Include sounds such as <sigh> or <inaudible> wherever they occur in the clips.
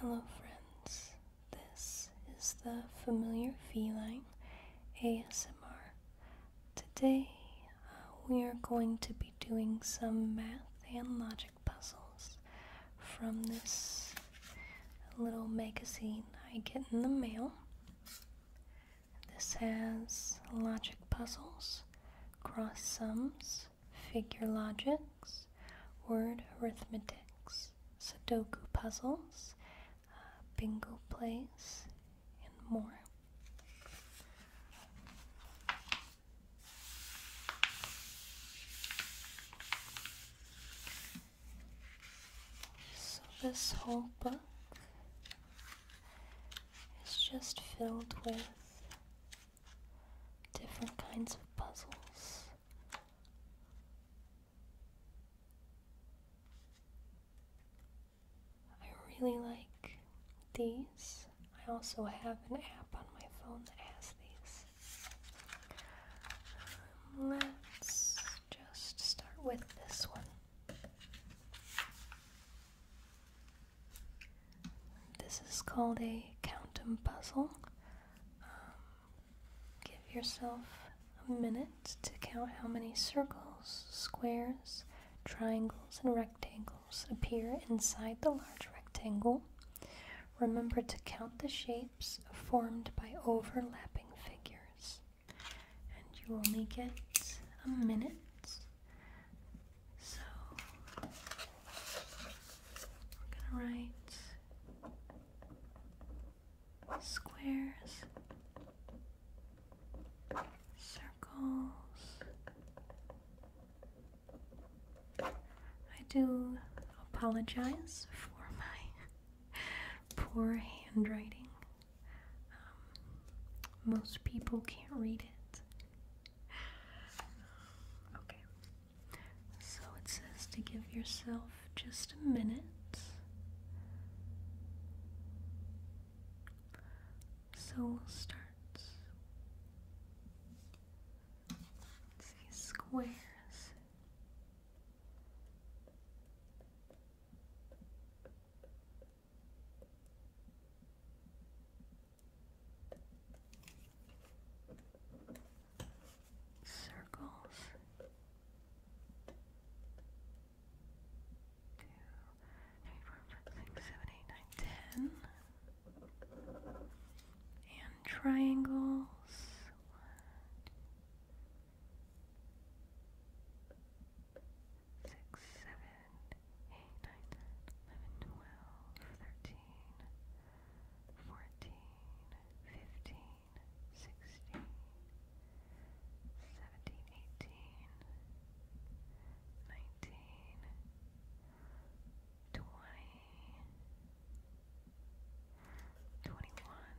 Hello, friends. This is the Familiar Feline ASMR. Today uh, we are going to be doing some math and logic puzzles from this little magazine I get in the mail. This has logic puzzles, cross sums, figure logics, word arithmetics, Sudoku puzzles, uh, bingo plays, and more. So this whole book is just filled with different kinds of puzzles. I really like these. I also have an app on my phone that has these. Um, let's just start with this one. This is called a counting puzzle. Um, give yourself a minute to count how many circles, squares, triangles, and rectangles appear inside the large rectangle. Remember to count the shapes formed by overlapping figures and you will make it a minute. So we're gonna write squares, circles. I do apologize for my <laughs> poor handwriting. Um, most people can't read it. <sighs> Okay, so it says to give yourself just a minute. So we'll start. see, squares circles two, three, four, five, six, seven, eight, nine, ten and triangles six, seven, eight, nine, ten, eleven, twelve, thirteen, fourteen, fifteen, sixteen, seventeen, eighteen, nineteen, twenty, twenty-one,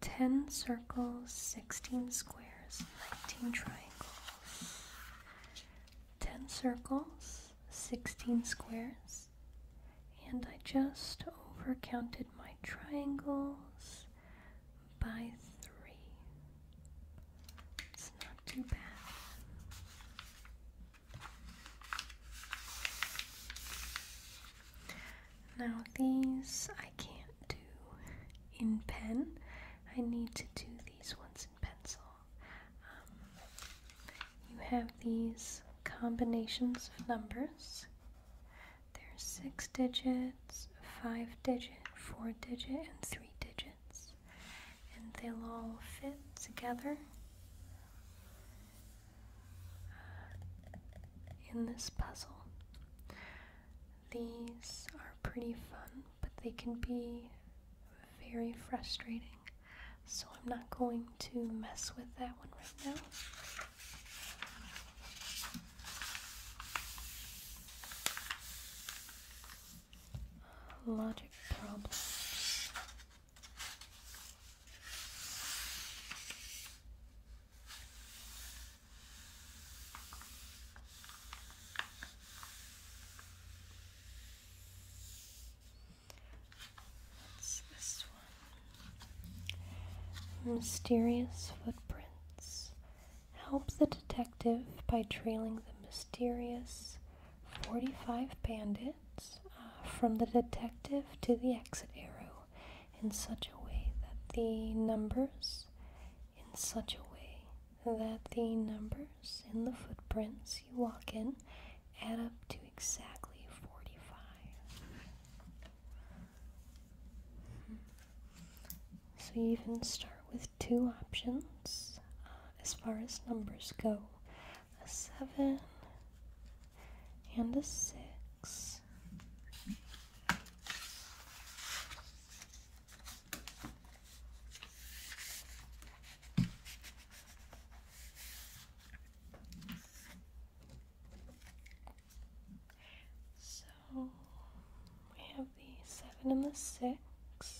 10 circles, 16 squares, 19 triangles. 10 circles, 16 squares. And I just overcounted my triangles by 3. It's not too bad. Now these I can't do in pen. I need to do these ones in pencil. Um, you have these combinations of numbers. There's six digits, five digit, four digit, and three digit and they'll all fit together uh, in this puzzle. These are pretty fun, but they can be very frustrating, so I'm not going to mess with that one right now logic problems. this one? Mysterious footprints. Help the detective by trailing the mysterious 45 bandits uh, from the detective to the exit arrow in such a way that the numbers, in such a way that the numbers in the footprints you walk in add up to exactly 45. Mm-hmm. So you even start with two options uh, as far as numbers go a 7 and a 6. So we have the 7 and the 6.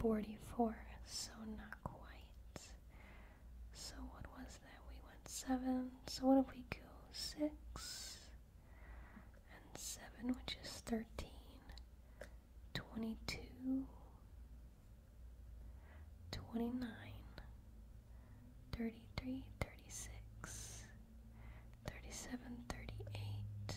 44, so not quite. So what was that? We went 7, so what if we go 6 and 7, which is thirteen, twenty-two, twenty-nine, thirty-three, thirty-six, thirty-seven, thirty-eight.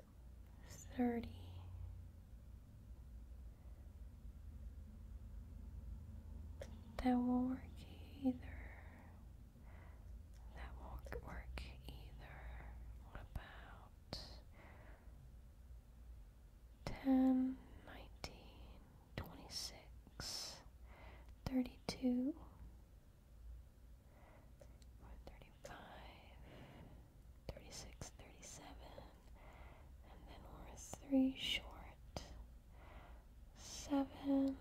thirty. That won't work either. That won't work either. What about ten, nineteen, twenty six, thirty two, 35, 36, 37, and then we're three short. Seven.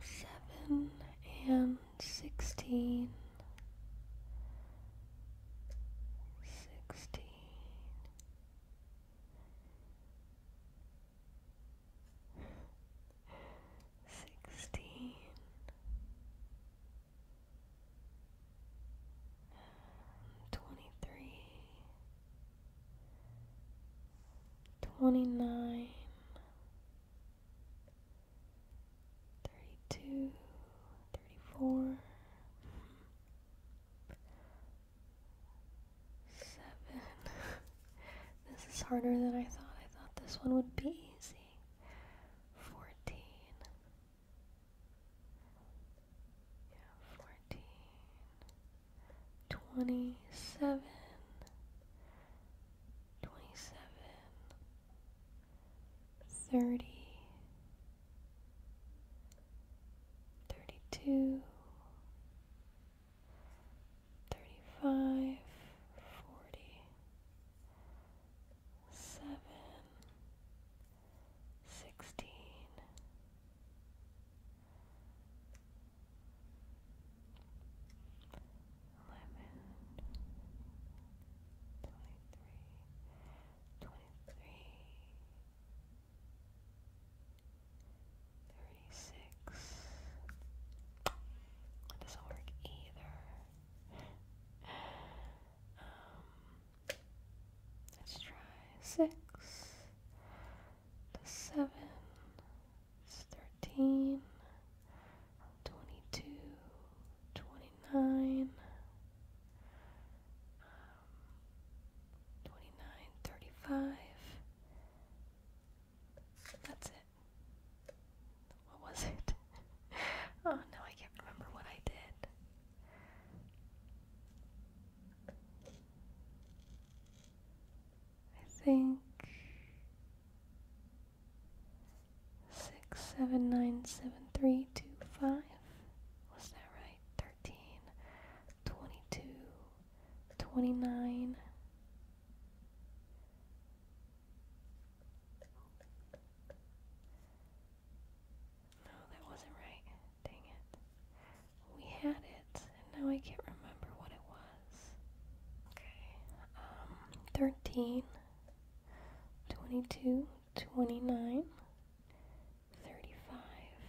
Seven and sixteen. Sixteen sixteen. Twenty three, twenty nine, thirty two, thirty four, Seven. this is harder than I thought. I thought this one would be easy. Fourteen. Yeah, fourteen. Twenty-seven. Twenty-seven. Thirty. Thirty-two. 32 thirty-five, forty, seven, sixteen, eleven, twenty-three, twenty-three. 22 21 20 36. That doesn't work either. um, let's try 6 to 7. It's 13, 22, 29. Uh, twenty-nine, thirty-five. That's it. What was it? <laughs> oh no, I can't remember what I did. I think six, seven, nine, seven, three, two, five. Was that right? Thirteen, twenty-two, 29 No, that wasn't right. Dang it. We had it, and now I can't remember what it was. Okay. Um, 13 22 29 thirty-five.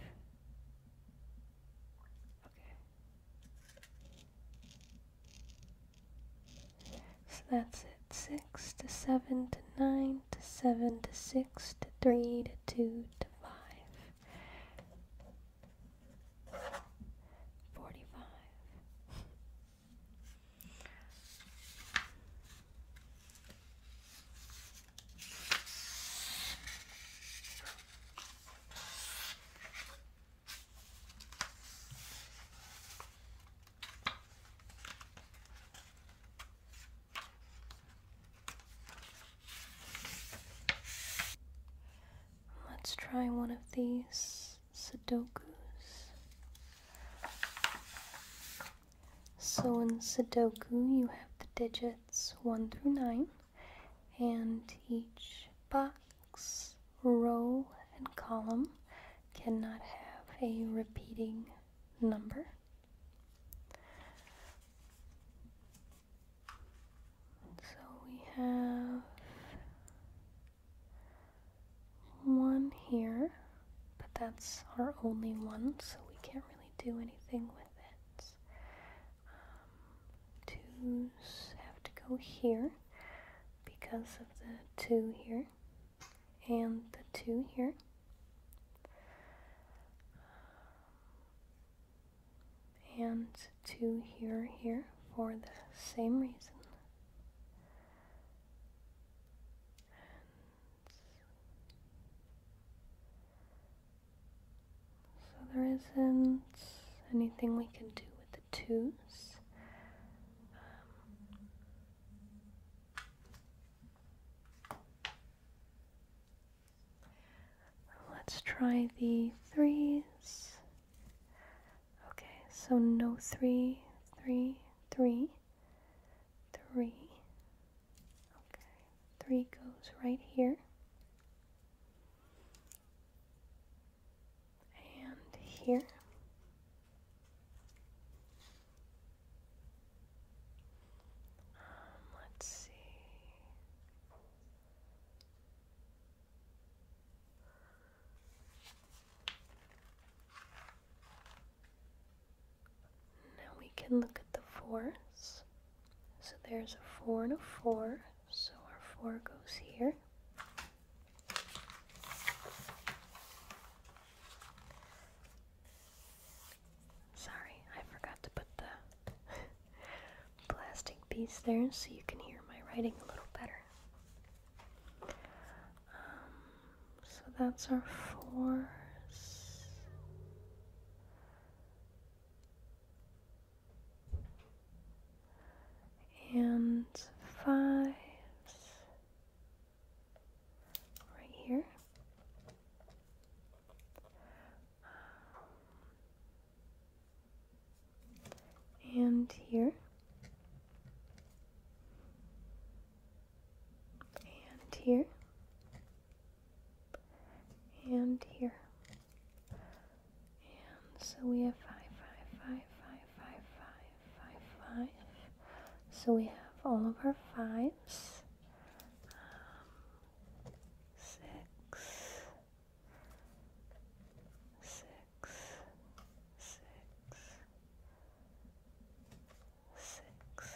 Okay. So that's it. Six to seven to nine to seven to six to three to two to five. Forty-five. Let's try one of these Sudokus. So in Sudoku, you have the digits it's 1 through 9, and each box, row, and column cannot have a repeating number. So we have one here, but that's our only one, so we can't really do anything with it um, have to go here because of the two here and the two here. and two here here for the same reason. So there isn't anything we can do with the twos. Um, let's try the threes. Okay, so no three, three, three, three, Okay, three goes right here. And here. Um, let's see. Now we can look at the fours. So there's a four and a four. So our four goes here. Sorry, I forgot to put the <laughs> plastic piece there so you can hear my writing a little better. Um, so that's our fours and five, right here. And here. And here and here. And so we have five, five, five, five, five, five, five, five. So we have all of our fives. Um, six, six, six, six.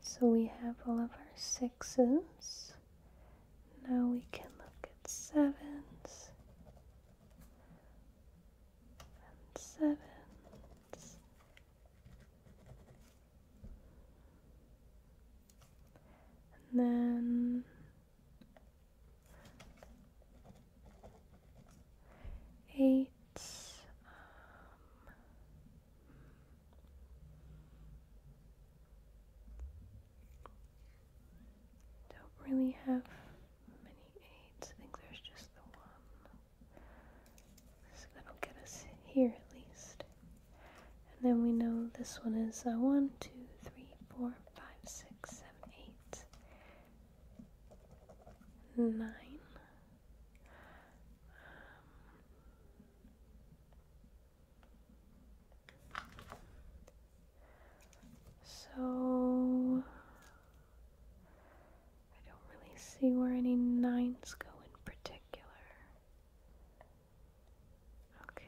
So we have all of our sixes. Now we can look at sevens and sevens. And then eight um, don't really have many aids. I think there's just the one. So that'll get us here at least. And then we know this one is uh, 1, 2, 3, 4, 5, 6, 7, 8, 9 so I don't really see where any nines go in particular. Okay.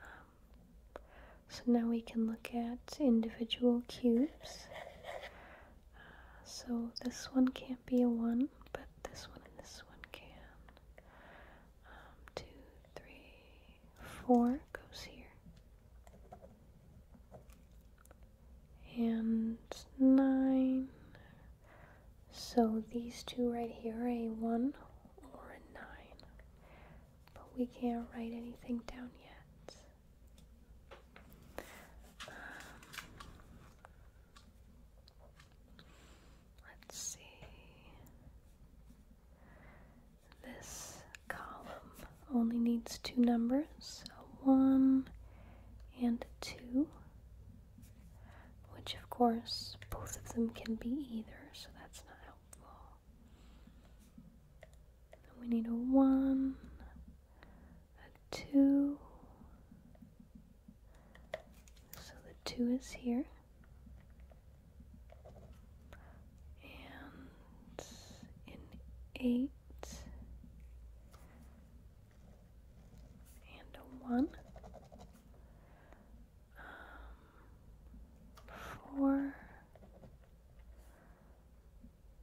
Um, so now we can look at individual cubes so this one can't be a 1, but this one and this one can. Um, 2, 3, 4 goes here. And 9. So these two right here are a 1 or a 9. But we can't write anything down yet. Um, let's see. This column only needs two numbers, so one and two, which of course both of them can be either, so that's not helpful. We need a one, a 2. So the 2 is here. And an 8. And a 1. Um, 4.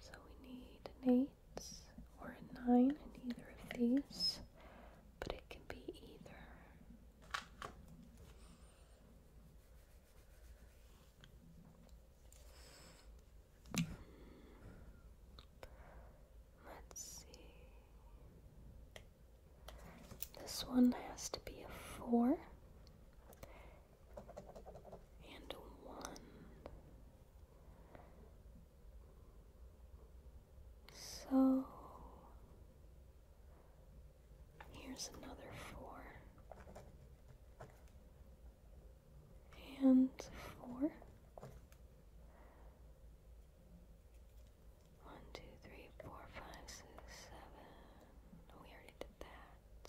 So we need an 8 or a 9 in either of these, but it can be either. Let's see. This one has to be a 4 and one. So here's another four and four. One, two, three, four, five, six, seven. Oh, we already did that.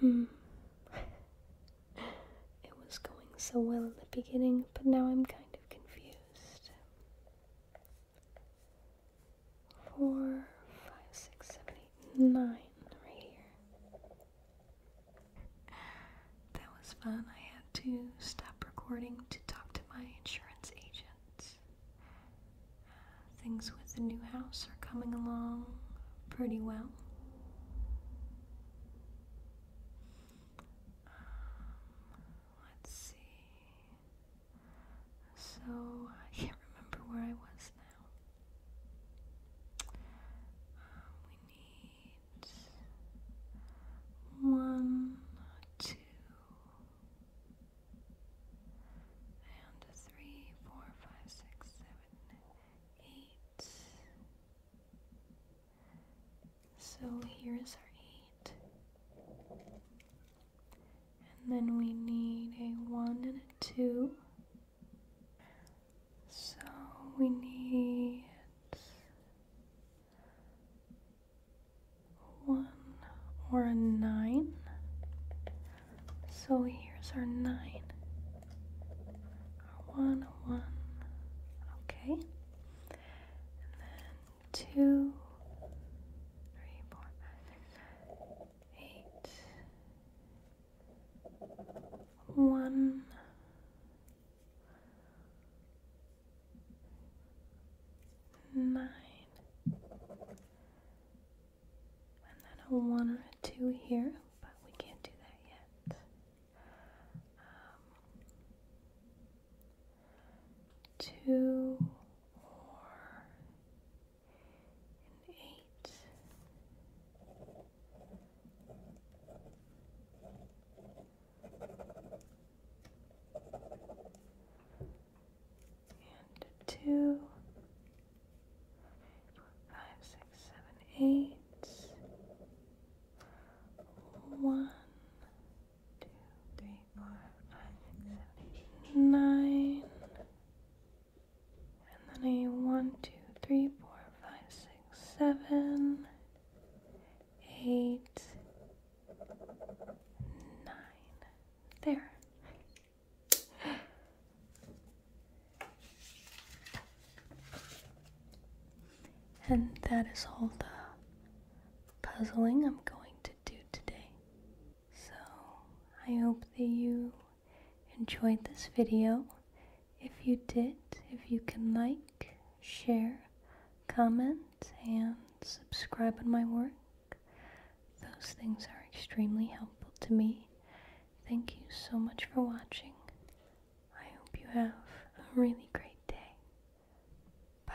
Hmm. it was going so well in the beginning, but now I'm kind of confused. Four, five, six, seven, eight, nine, right here. <laughs> that was fun. I had to stop recording to talk to my insurance agent. things with the new house are coming along pretty well. Um, let's see. So I can't remember where I was now. Um, we need one, two, and three, four, five, six, seven, eight. So here is our eight. And then we need a one and a two. So we need one or a nine. So here's our nine. Our one, one. Okay. And then two, three, four, five, six, eight, one, nine, and then a one or a two here, but we can't do that yet. Um, two or an eight and two, five, six, seven, eight, one, two, three, four, five, six, seven, eight, nine, and then a one, two, three, four, five, six. Seven, eight, nine. There. And that is all the puzzling I'm going to do today. So I hope that you enjoyed this video if you did, if you can like, share, comment, and subscribe on my work, those things are extremely helpful to me. Thank you so much for watching. I hope you have a really great day. Bye.